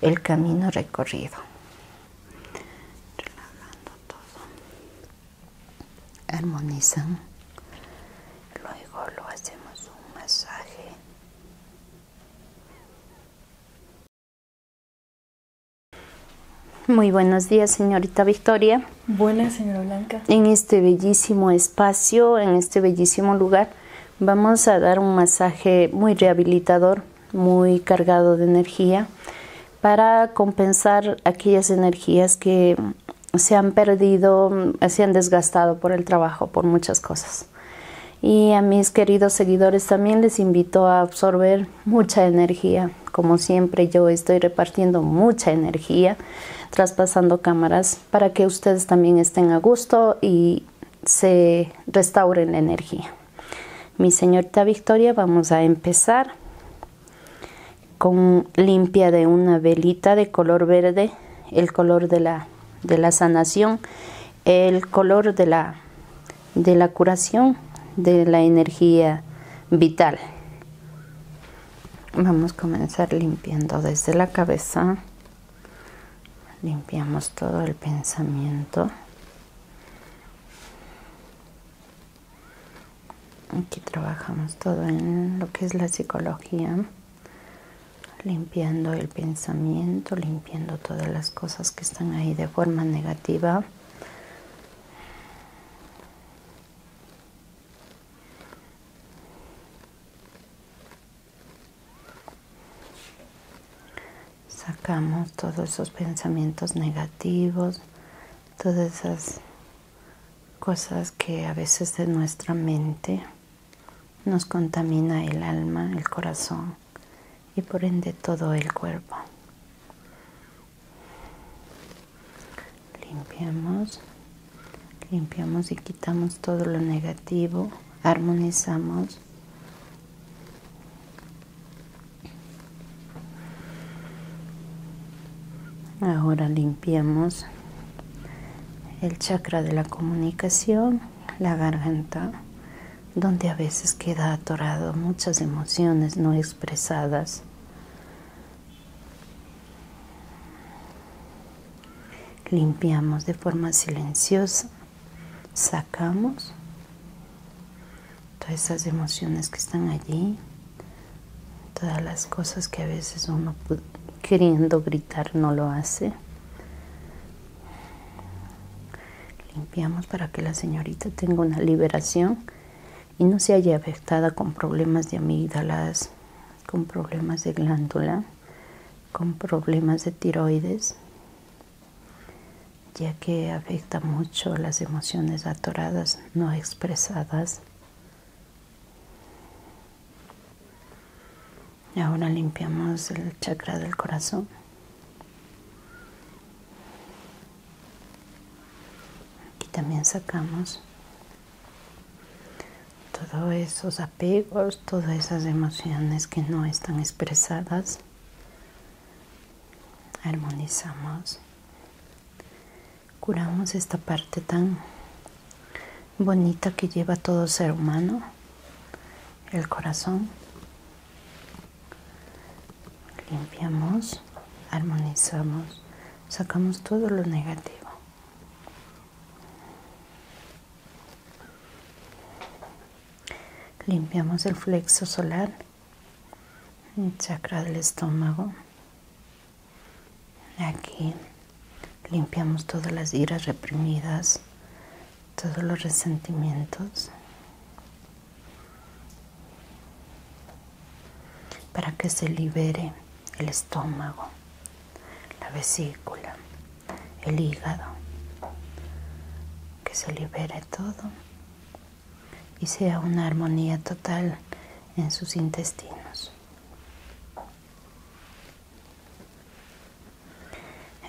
el camino recorrido. Relajando todo. Armonizan. Luego lo hacemos un masaje. Muy buenos días, señorita Victoria. Buenas, señora Blanca. En este bellísimo espacio, en este bellísimo lugar, Vamos a dar un masaje muy rehabilitador, muy cargado de energía, para compensar aquellas energías que se han perdido, se han desgastado por el trabajo, por muchas cosas. Y a mis queridos seguidores también les invito a absorber mucha energía. Como siempre yo estoy repartiendo mucha energía, traspasando cámaras, para que ustedes también estén a gusto y se restaure la energía. Mi señorita Victoria, vamos a empezar con limpia de una velita de color verde, el color de la, de la sanación, el color de la, de la curación, de la energía vital. Vamos a comenzar limpiando desde la cabeza limpiamos todo el pensamiento. Aquí trabajamos todo en lo que es la psicología, limpiando el pensamiento, limpiando todas las cosas que están ahí de forma negativa. Sacamos todos esos pensamientos negativos, todas esas cosas que a veces de nuestra mente nos contamina el alma, el corazón y por ende todo el cuerpo. Limpiamos, limpiamos y quitamos todo lo negativo, armonizamos Ahora limpiamos el chakra de la comunicación, la garganta, donde a veces queda atorado muchas emociones no expresadas. Limpiamos de forma silenciosa sacamos todas esas emociones que están allí, todas las cosas que a veces uno queriendo gritar no lo hace. Limpiamos para que la señorita tenga una liberación y no se haya afectada con problemas de amígdalas, con problemas de glándula, con problemas de tiroides, ya que afecta mucho las emociones atoradas no expresadas. Ahora limpiamos el chakra del corazón. Aquí también sacamos todo esos pegos todas esas emociones que no están expresadas. Armonizamos. Curamos esta parte tan bonita que lleva todo ser humano, el corazón. Limpiamos, armonizamos, sacamos todo lo negativo. Limpiamos el flexo solar, el chakra del estómago. Aquí limpiamos todas las iras reprimidas, todos los resentimientos. Para que se libere el estómago, la vesícula, el hígado, que se libere todo y sea una armonía total en sus intestinos.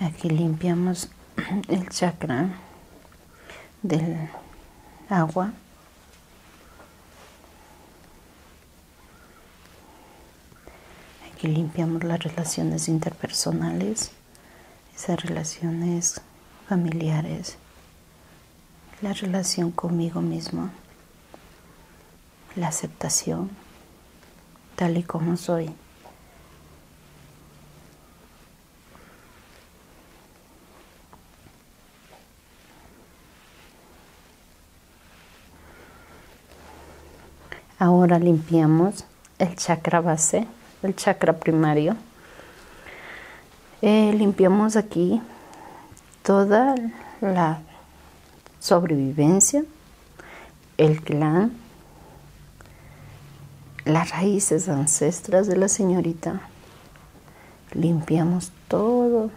Aquí limpiamos el chakra del agua Aquí limpiamos las relaciones interpersonales, esas relaciones familiares, la relación conmigo mismo, la aceptación tal y como soy. Ahora limpiamos el chakra base, el chakra primario. Eh, limpiamos aquí toda la sobrevivencia, el clan, las raíces ancestras de la señorita. Limpiamos todo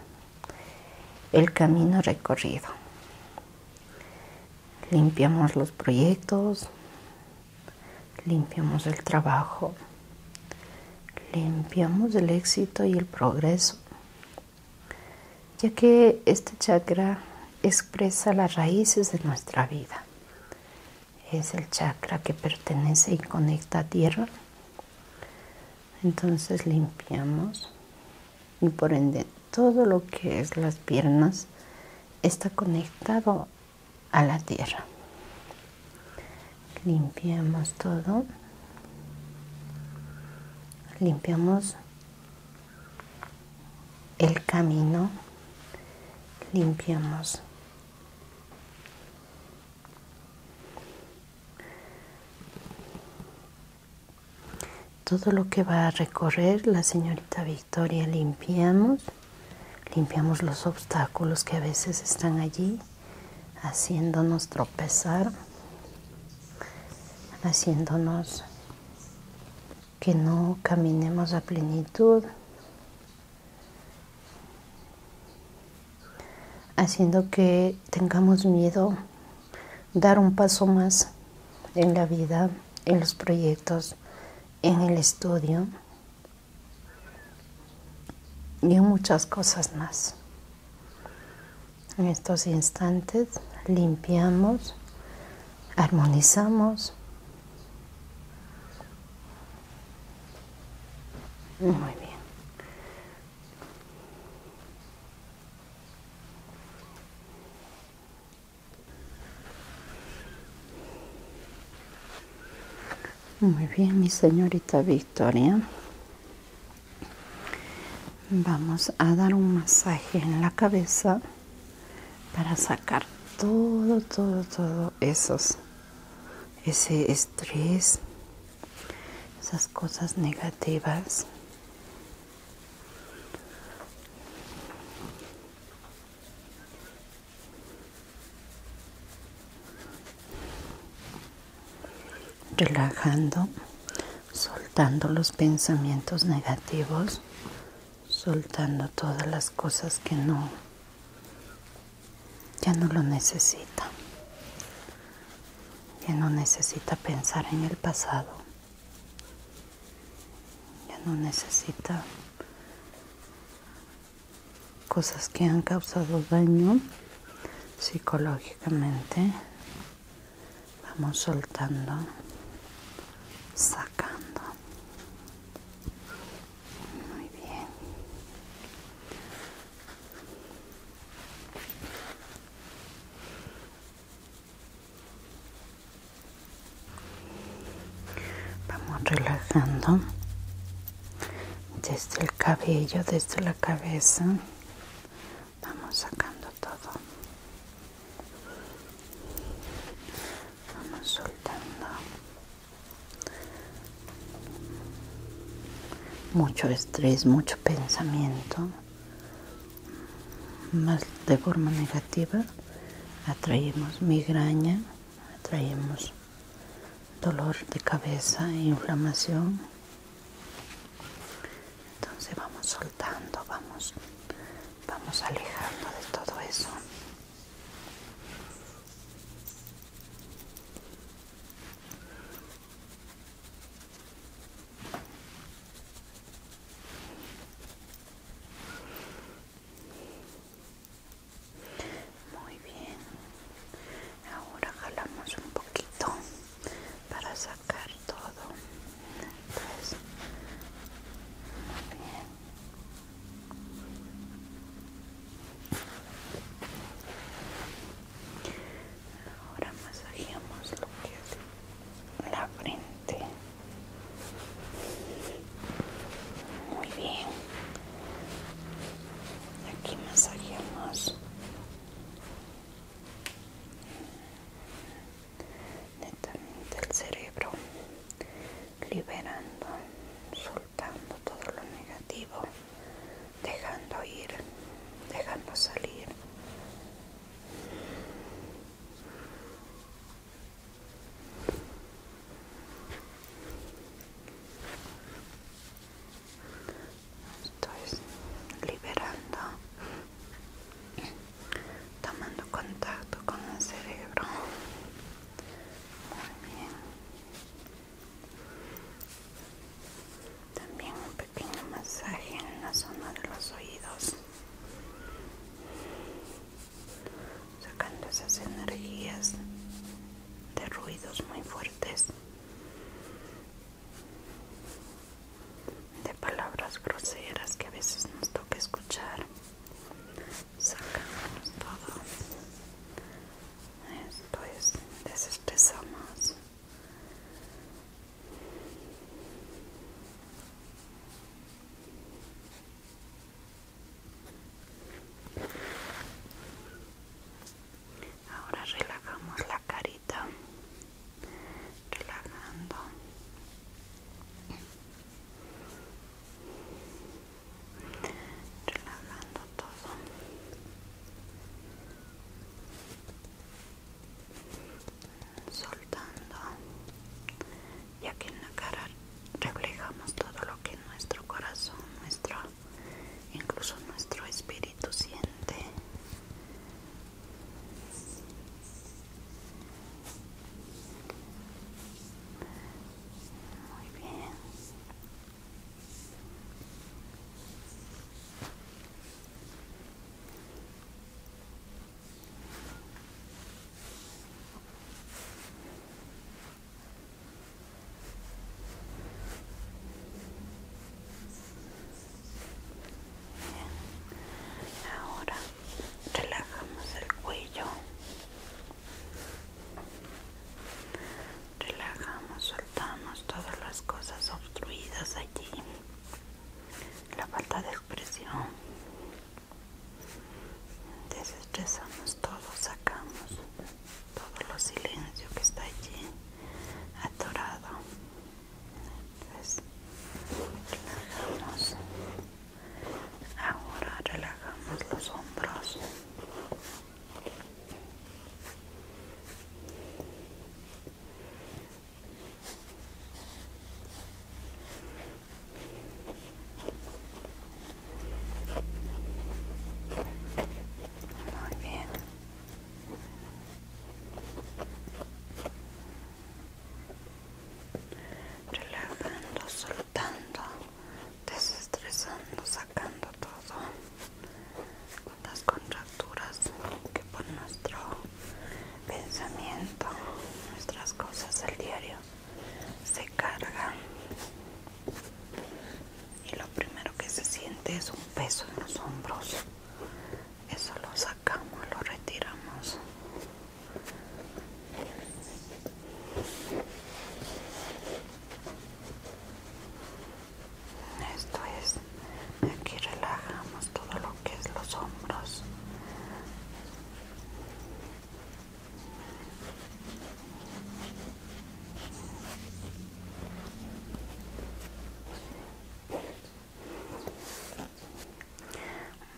el camino recorrido limpiamos los proyectos, limpiamos el trabajo, limpiamos el éxito y el progreso, ya que este chakra expresa las raíces de nuestra vida. Es el chakra que pertenece y conecta a tierra. Entonces limpiamos y por ende todo lo que es las piernas está conectado a la tierra. Limpiamos todo. Limpiamos el camino. Limpiamos todo lo que va a recorrer la señorita Victoria limpiamos, limpiamos los obstáculos que a veces están allí haciéndonos tropezar, haciéndonos que no caminemos a plenitud, haciendo que tengamos miedo dar un paso más en la vida, en los proyectos, en el estudio y en muchas cosas más. En estos instantes limpiamos, armonizamos. Muy bien. Muy bien, mi señorita Victoria. Vamos a dar un masaje en la cabeza para sacar todo, todo, todo esos, ese estrés, esas cosas negativas relajando, soltando los pensamientos negativos, soltando todas las cosas que no, ya no lo necesita, ya no necesita pensar en el pasado. Ya no necesita cosas que han causado daño psicológicamente. Vamos soltando, sacando. Muy bien. Vamos relajando desde el cabello, desde la cabeza. Vamos sacando todo. Vamos soltando. Mucho estrés, mucho pensamiento más de forma negativa, atraemos migraña, atraemos dolor de cabeza, e inflamación. Entonces vamos soltando, vamos, vamos alejando de todo eso. Muy bien. Ahora jalamos un poquito para sacar todo. Entonces, muy bien. Ahora lo que es la frente. Este. muy bien aquí masajeamos netamente el cerebro liberando soltando todo lo negativo dejando ir dejando salir Estoy liberando, tomando contacto con el cerebro. Muy bien. También un pequeño masaje en la zona de los oídos sacando esas energías de ruidos muy fuertes, de palabras groseras que a veces nos toca escuchar, sacándonos todo. Esto es desestresamos Ahora relajamos la carita, relajando. Relajando todo soltando ya que en la cara reflejamos todo lo que nuestro corazón nuestro incluso nuestro espíritu siente muy bien Ahora relajamos el cuello. Relajamos, soltamos todas las cosas obstruidas allí la falta de expresión. Desestresamos todo, sacamos todo lo silencio que está allí atorado. relajamos. Ahora relajamos los hombros. Muy Relajando, soltando, desestresando, sacando todo. Las contracturas que por nuestro pensamiento, nuestras cosas el diario se cargan y lo primero que se siente es un peso en los hombros. Eso lo sacamos, lo retiramos. Esto es, aquí relajamos todo lo que es los hombros.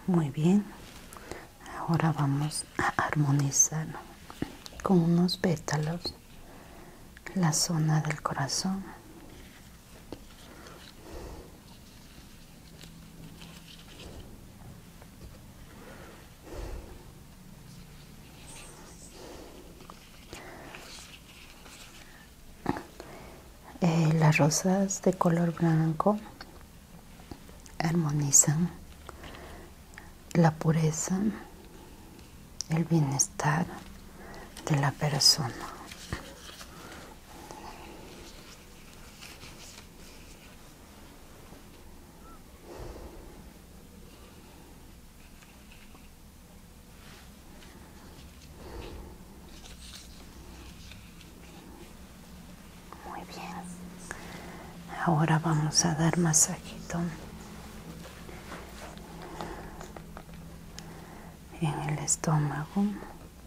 Muy bien, ahora vamos a armonizar con unos pétalos la zona del corazón eh, las rosas de color blanco armonizan la pureza, el bienestar de la persona. Muy bien. Ahora vamos a dar masajito en el estómago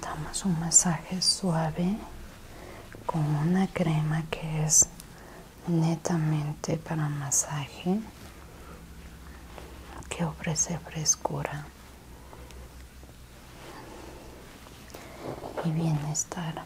damos un masaje suave con una crema que es netamente para masaje que ofrece frescura y bienestar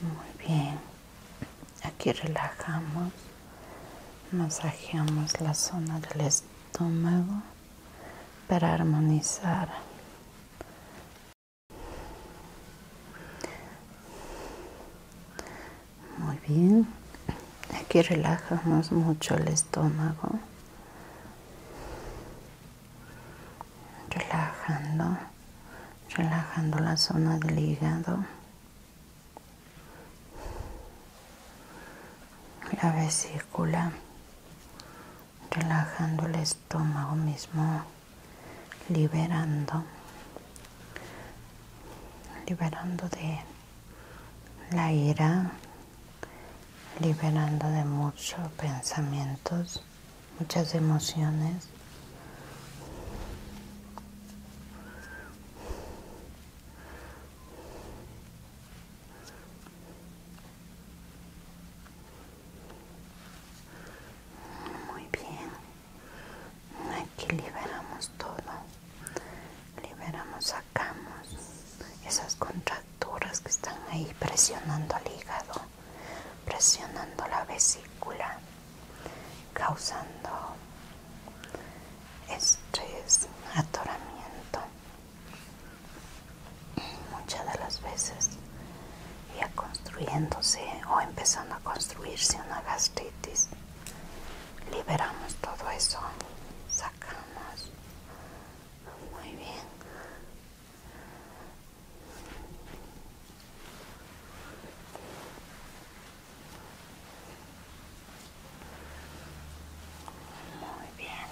muy bien. Aquí relajamos. Masajeamos la zona del estómago para armonizar. Muy bien. Aquí relajamos mucho el estómago. Relajando, relajando la zona del hígado. La vesícula. Relajando el estómago mismo. Liberando. Liberando de la ira, liberando de muchos pensamientos, muchas emociones. Muy bien, aquí liberamos todo liberamos, sacamos esas contracturas que están ahí presionando el hígado, presionando la vesícula, causando estrés, atoramiento. Muchas de las veces ya construyéndose o empezando a construirse una gastritis liberamos todo eso sacamos muy bien muy bien muy bien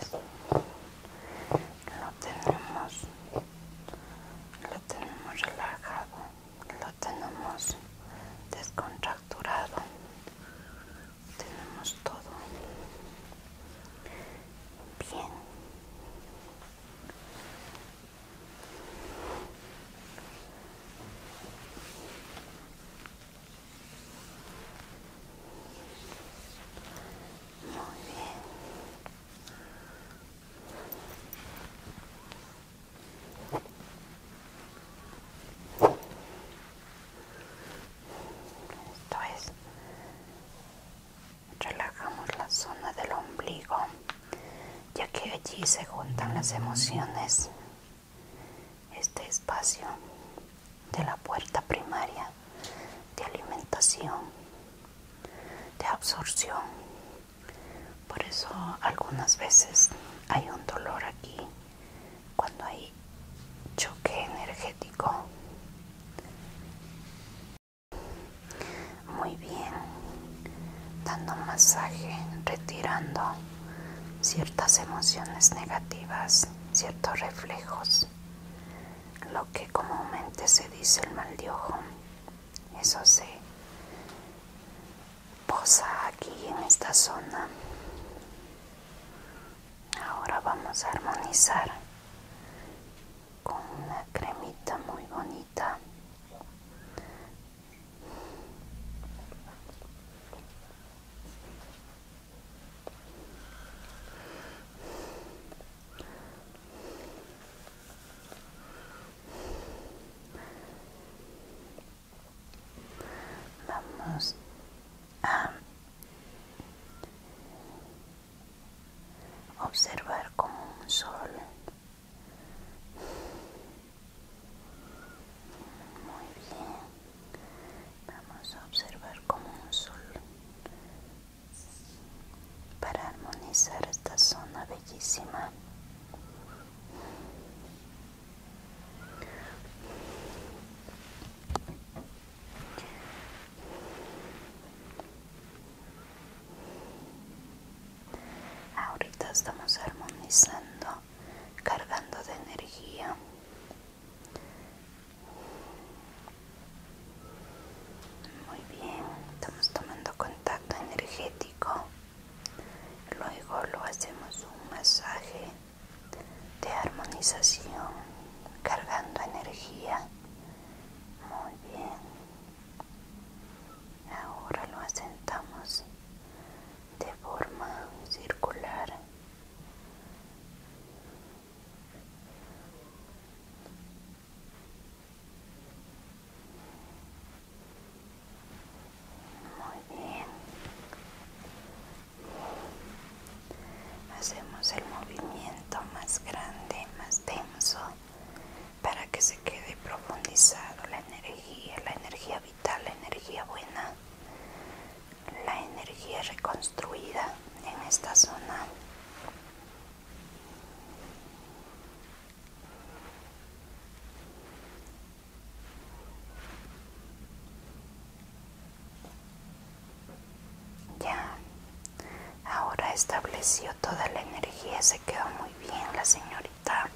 esto es, lo tenemos, lo tenemos relajado, lo tenemos descontracturado tenemos todo bien muy bien esto es, relajamos la zona del ombligo, ya que allí se juntan las emociones. Este espacio de la puerta primaria de alimentación, de absorción. Por eso algunas veces hay un dolor aquí cuando hay choque energético. Muy bien, dando masaje, retirando ciertas emociones negativas, ciertos reflejos, lo que comúnmente se dice el mal de ojo. Eso se posa aquí en esta zona. Ahora vamos a armonizar con una cremita muy bonita. Vamos a observar como un sol muy bien vamos a observar como un sol para armonizar esta zona bellísima Ahorita estamos armonizando, cargando de energía. Muy bien, estamos tomando contacto energético. Luego lo hacemos un masaje de armonización, cargando energía. Muy bien. Ahora lo asentamos de forma circular muy bien hacemos el movimiento más grande más denso para que se quede profundizado la energía la energía vital la energía buena la energía reconstruida en esta zona ya, ahora estableció toda la energía, se quedó muy bien la señorita.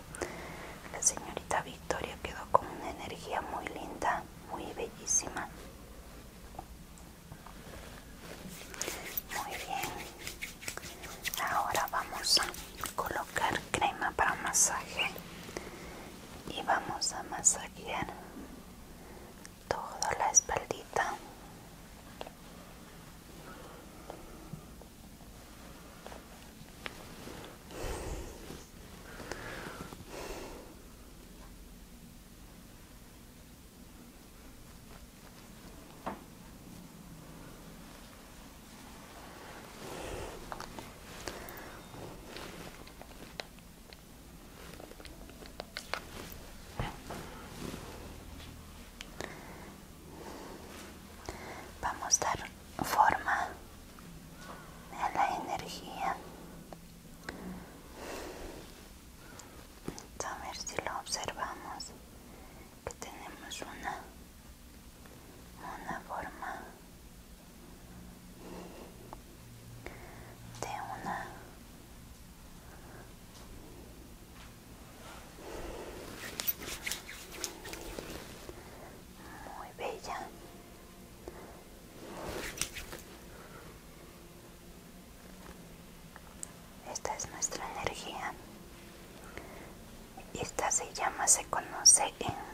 La señorita Victoria quedó con una energía muy linda, muy bellísima. Muy bien, ahora vamos a colocar crema para masaje y vamos a masajear toda la espaldita Vamos a dar forma a la energía. A ver si lo observamos, que tenemos una, una forma de una muy bella esta es nuestra energía esta se llama se conoce en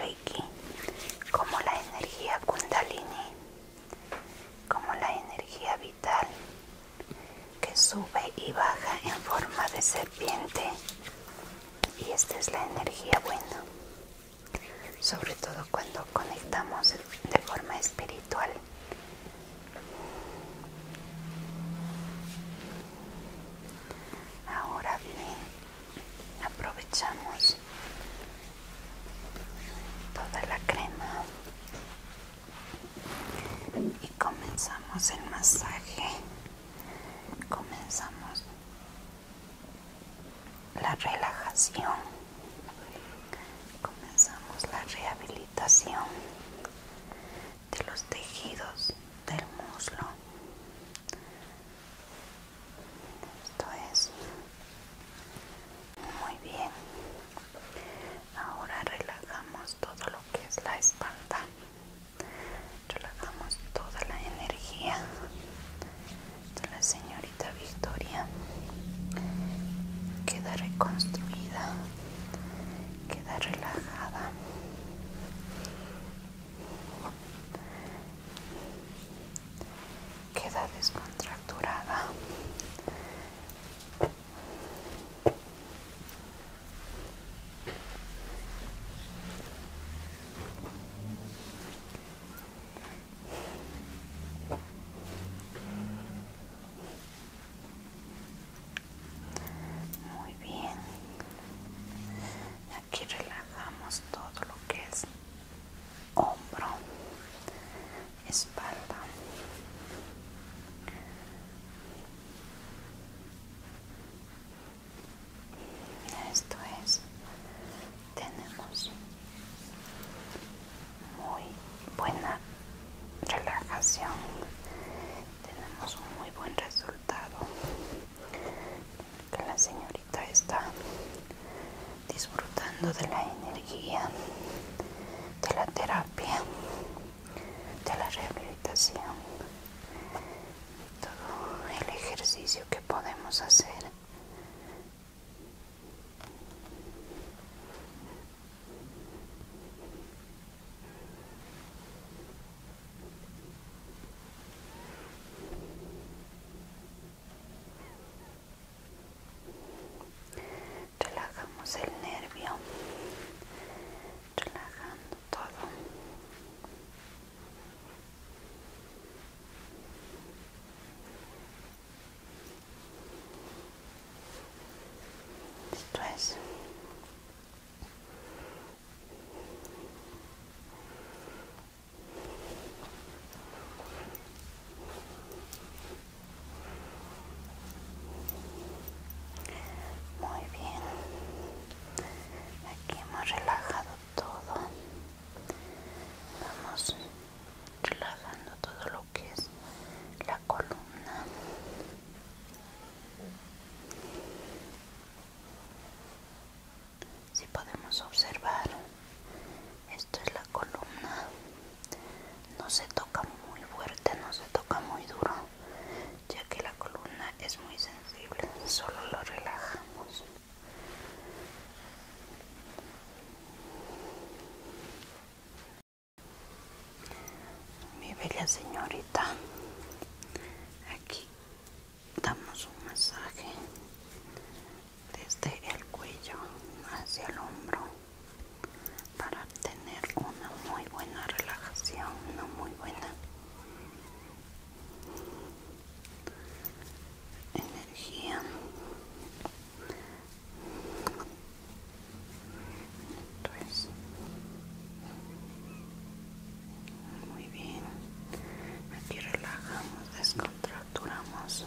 en como la energía Kundalini, como la energía vital que sube y baja en forma de serpiente. Y esta es la energía buena, sobre todo cuando conectamos de forma espiritual. Ahora bien, aprovechamos toda la crema y comenzamos el masaje comenzamos la relajación comenzamos la rehabilitación de los tejidos del muslo esto es muy bien ahora relajamos todo lo que es la espalda relajamos toda la energía de la señorita Victoria queda reconstruida queda relajada queda descontracturada muy bien aquí relajamos todo lo que es hombro espalda esto es tenemos muy buena relajación tenemos un muy buen resultado la señorita está disfrutando de la energía, de la terapia, de la rehabilitación, todo el ejercicio que podemos hacer. Relajamos el nervio, relajando todo. Esto muy bien, aquí hemos relajado todo. Vamos relajando todo lo que es la columna si podemos observar esto es la columna no se toca muy fuerte no se toca muy duro ya que la columna es muy sensible solo lo relajamos mi bella señorita aquí damos un masaje desde el cuello hacia el hombro para tener una muy buena relajación, una muy buena energía. Muy bien. Aquí relajamos, descontracturamos.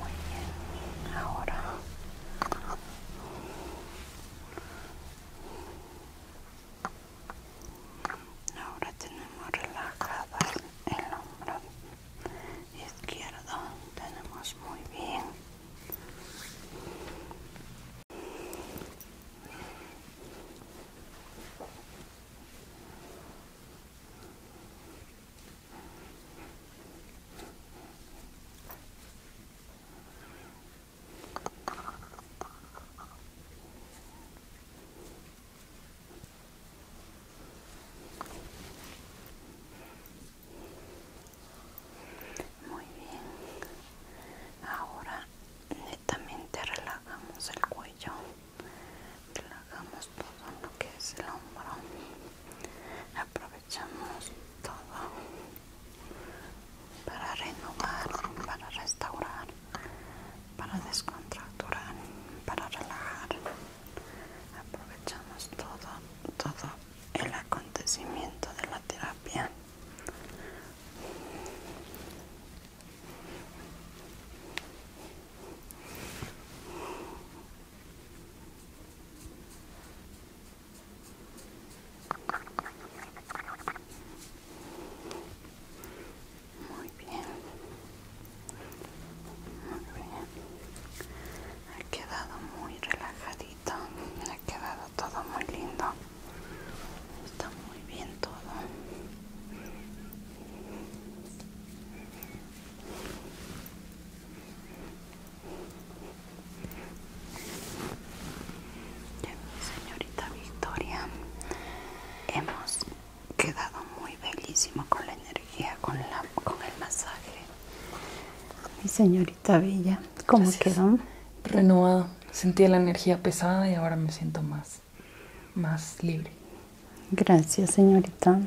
Muy bien, ahora ahora tenemos relajado el hombro izquierdo tenemos muy bien muy bien, ahora netamente relajamos el cuello, relajamos todo lo que es el hombro, aprovechamos todo para renovar, para restaurar, para descontracturar, para relajar. Aprovechamos todo, todo el acontecimiento de la terapia. Muy bien. Muy bien. Ha quedado muy relajadito. Ha quedado todo muy lindo. Está muy bien todo. Señorita Victoria, hemos quedado muy bellísimo con la energía, con, la, con el masaje. Mi señorita Bella, ¿cómo quedó? Renovado Sentía la energía pesada y ahora me siento más, más libre. Gracias, señorita.